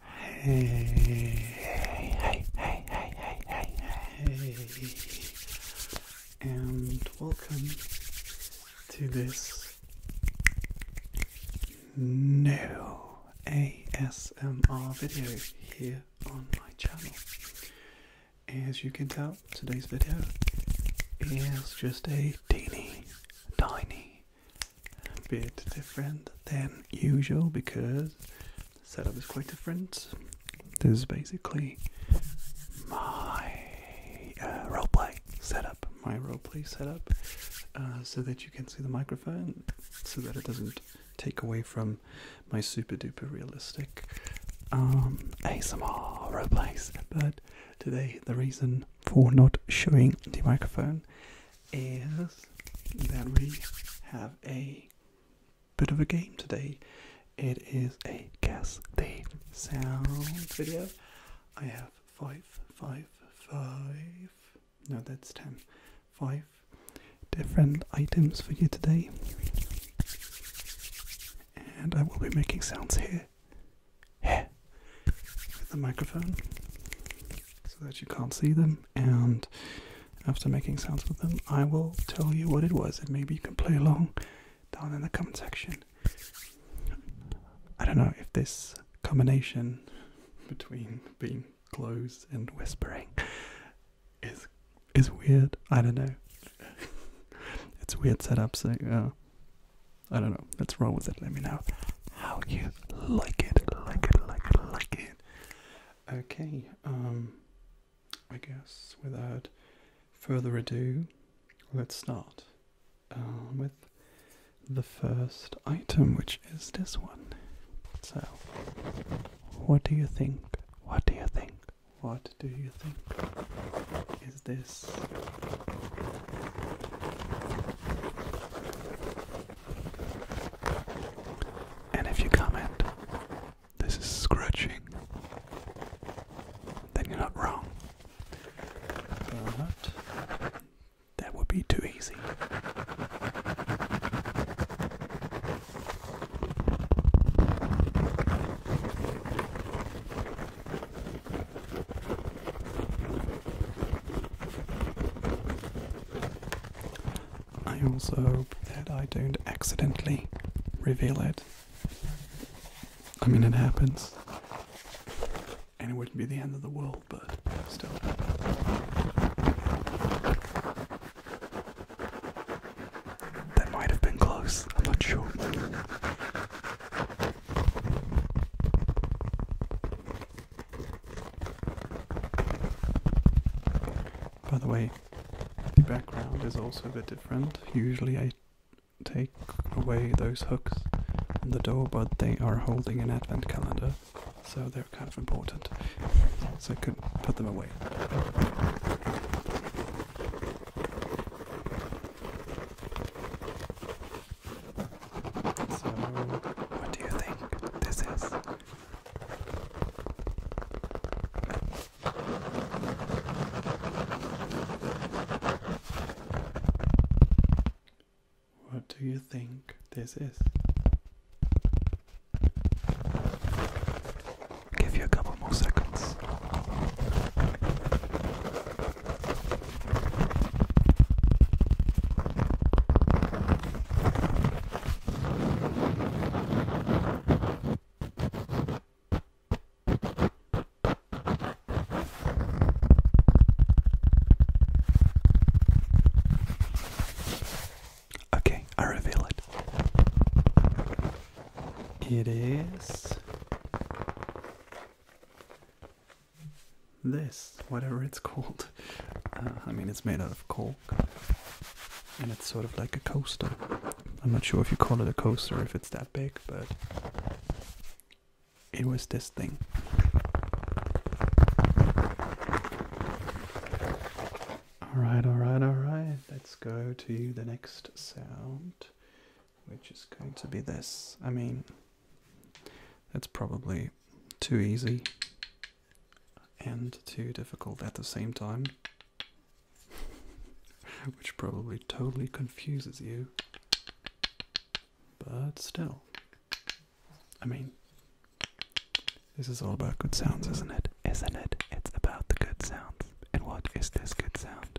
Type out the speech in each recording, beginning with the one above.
Hey, hey, hey, hey, hey, hey, hey, and welcome to this new ASMR video here on my channel. As you can tell, today's video is just a teeny tiny a bit different than usual because the setup is quite different. This is basically my uh, roleplay setup, my roleplay setup, uh, so that you can see the microphone, so that it doesn't take away from my super duper realistic um, ASMR roleplays. But today, the reason for not showing the microphone is that we have a bit of a game today. It is a guess the sound video. I have five, five, five. No, that's ten. Five different items for you today. And I will be making sounds here hair the microphone so that you can't see them. And after making sounds with them, I will tell you what it was, and maybe you can play along down in the comment section. I don't know if this combination between being close and whispering is is weird. I don't know. it's weird setup, so uh, I don't know. What's wrong with it? Let me know how you like it. Like it, like it, like it. Okay, um, I guess without further ado, let's start uh, with the first item, which is this one. So, what do you think? What do you think? What do you think? Is this and if you comment, this is scratching, then you're not wrong. But that would be too easy. I also hope that I don't accidentally reveal it. I mean, it happens. And it wouldn't be the end of the world, but still. That might have been close, I'm not sure. By the way, the background is also a bit different. Usually I take away those hooks on the door, but they are holding an advent calendar, so they're kind of important. So I could not put them away. So, what do you think this is? What do you think this is? give you a couple more seconds. Okay, I reveal it. It is this, whatever it's called. Uh, I mean, it's made out of cork, and it's sort of like a coaster. I'm not sure if you call it a coaster if it's that big, but it was this thing. Alright, alright, alright. Let's go to the next sound, which is going to be this. I mean, that's probably too easy and too difficult at the same time, which probably totally confuses you. But still, I mean, this is all about good sounds, isn't it? Isn't it? It's about the good sounds. And what is this good sound?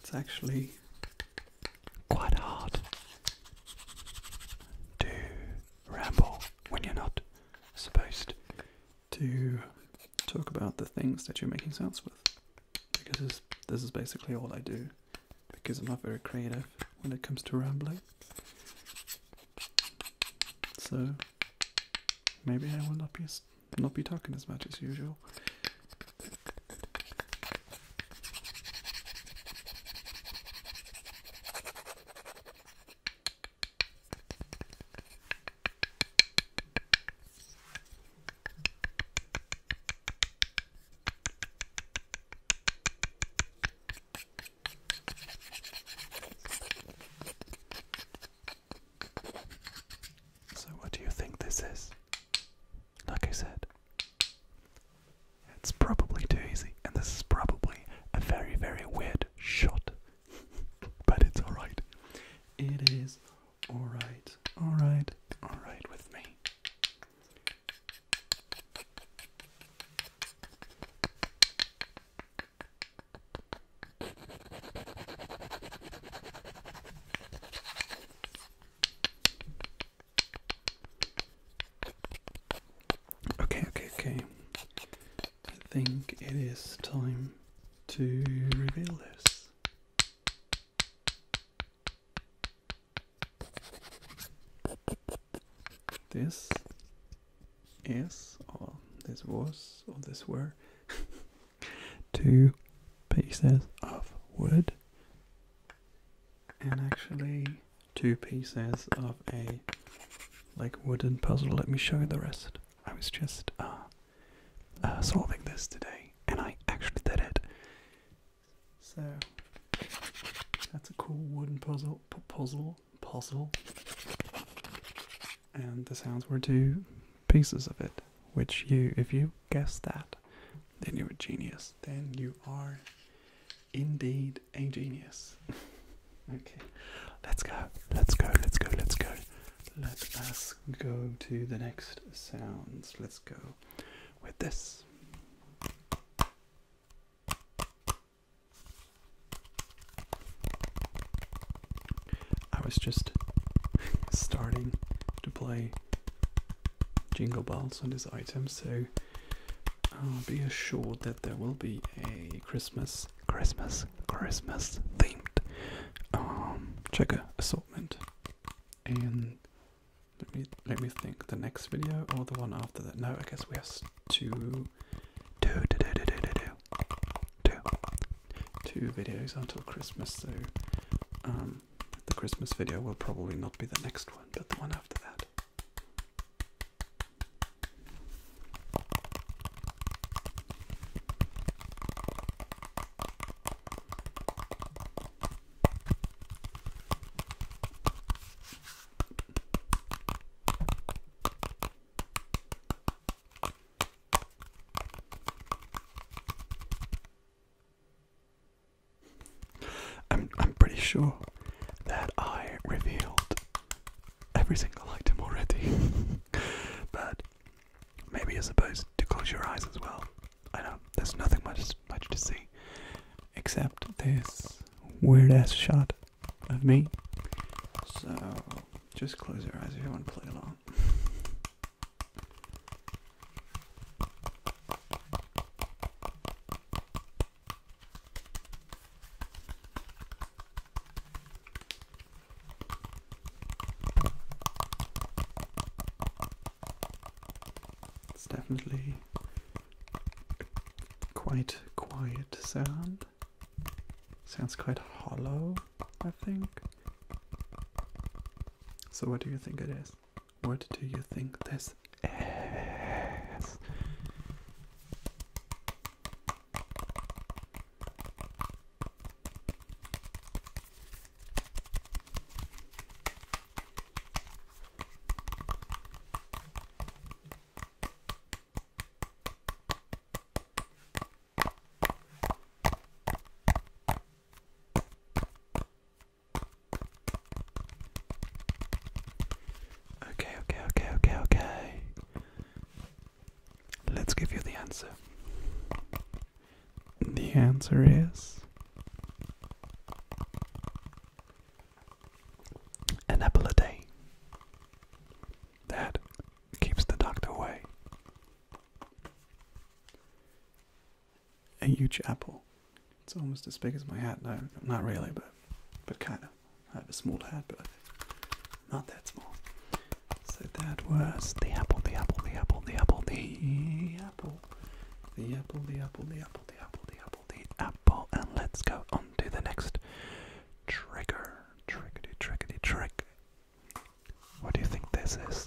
It's actually quite hard to ramble when you're not supposed to talk about the things that you're making sounds with. Because this, is basically all I do. Because I'm not very creative when it comes to rambling. So maybe I will not be as not be talking as much as usual. So, what do you think this is? Like I said, it's probably too easy, and this is probably a very, very weird shot. but it's alright. It is alright, alright, alright with me. Okay, okay, okay. I think it is time to reveal this. This is, or this was, or this were two pieces of wood and actually two pieces of a like wooden puzzle. Let me show you the rest. I was just uh, uh, solving this today and I actually did it. So that's a cool wooden puzzle, puzzle, puzzle. And the sounds were two pieces of it, which you, if you guess that, then you're a genius. Then you are indeed a genius. okay, let's go, let's go, let's go, let's go. Let us go to the next sounds. Let's go with this. I was just starting to play Jingle Bells on this item, so uh, be assured that there will be a Christmas, Christmas, Christmas themed um, checker assortment. And let me let me think. The next video or the one after that? No, I guess we have to do do do do do do do two videos until Christmas, so um, the Christmas video will probably not be the next one, but the one after that. I'm pretty sure that I revealed every single item already. but maybe you're supposed to close your eyes as well. I know, there's nothing much much to see. Except this weird ass shot of me. So just close your eyes if you want to play along. It's definitely quite quiet sound. Sounds quite hollow. I think. So, what do you think it is? What do you think this is? Okay, okay, okay, okay, okay. Let's give you the answer. The answer is an apple a day. That keeps the doctor away a huge apple. It's almost as big as my hat. No, not really, but but kind of. I have a small hat, but not that small. So that was the apple, the apple, the apple, the apple, the apple, the apple, the apple, the apple, the apple, the apple, the apple, and let's go on to the next trigger. Trickety, trickety, trick. What do you think this is?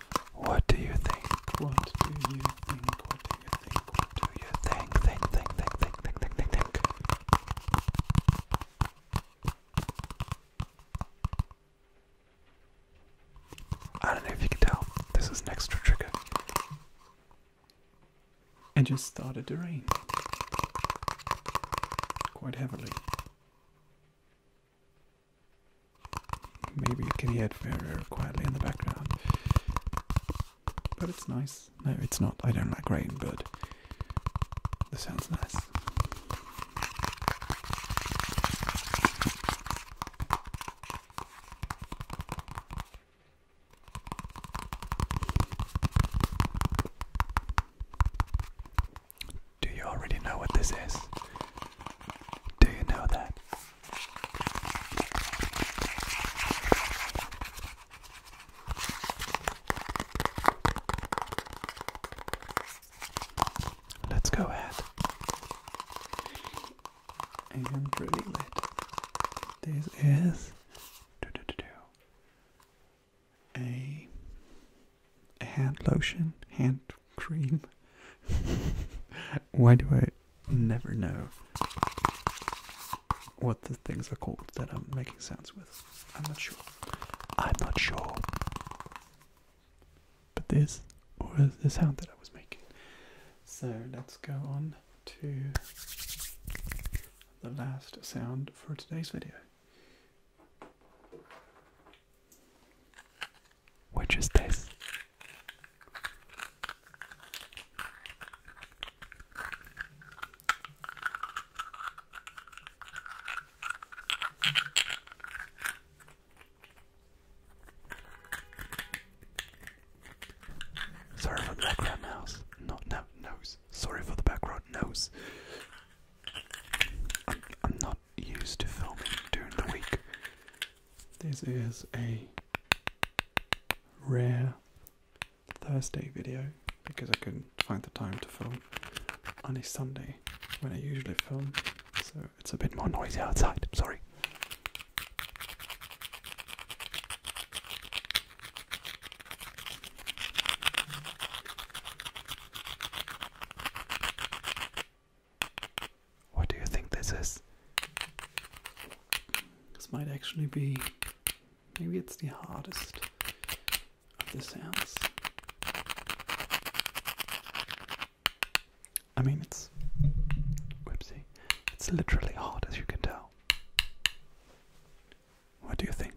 What do you think? What do you think? What do you think? What do you think? Think, think, think, think, think, think, think, think. I don't know if you can tell. This is an extra trigger. It just started to rain quite heavily. Maybe you can hear it very, quietly in the background. But it's nice. No, it's not. I don't like rain, but the sound's nice. Do you already know what this is? Do you know that? Let's go ahead and reveal it. This is a, a hand lotion, hand cream. Why do I never know what the things are called that I'm making sounds with? I'm not sure. I'm not sure. But this was the sound that I was making. So let's go on to the last sound for today's video which is this. Sorry for the background mouse. Not no nose. Sorry for the background nose. I'm not used to filming during the week. This is a rare Thursday video because I couldn't find the time to film on a Sunday when I usually film, so it's a bit more noisy outside. Sorry. What do you think this is? This might actually be. Maybe it's the hardest of the sounds. I mean, it's. Whoopsie. It's literally hard, as you can tell. What do you think?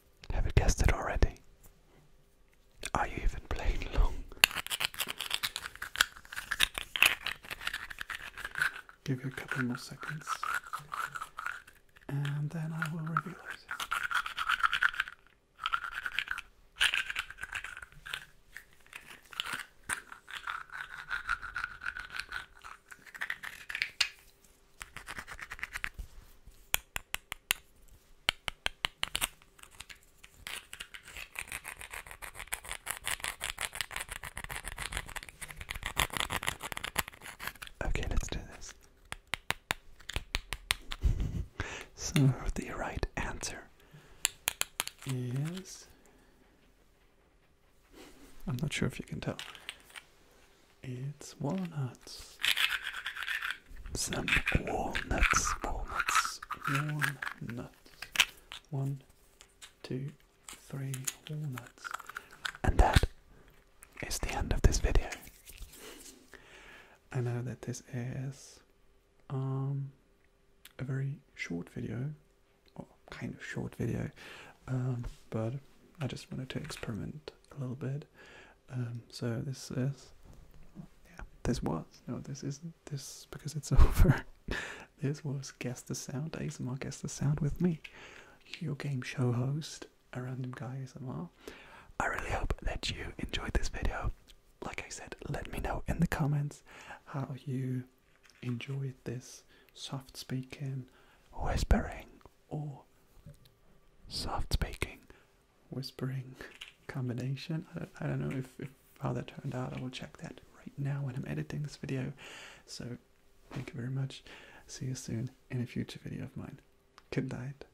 Have you guessed it already? Are you even playing along? Give you a couple more seconds, and then I will reveal it. Okay, let's do this. so, the right answer is. I'm not sure if you can tell. It's walnuts. Some walnuts, walnuts, walnuts. One, two, three walnuts. And that is the end of this video. I know that this is um, a very short video, or kind of short video, um, but I just wanted to experiment a little bit. Um, so this is, yeah, this was no, this isn't this because it's over. this was guess the sound ASMR. Guess the sound with me, your game show host, a random guy ASMR. I really hope that you enjoyed this video. Like I said, let me know in the comments how you enjoyed this soft speaking, whispering, or soft speaking, whispering combination. I don't, I don't know if, if how that turned out. I will check that right now when I'm editing this video. So thank you very much. See you soon in a future video of mine. Good night.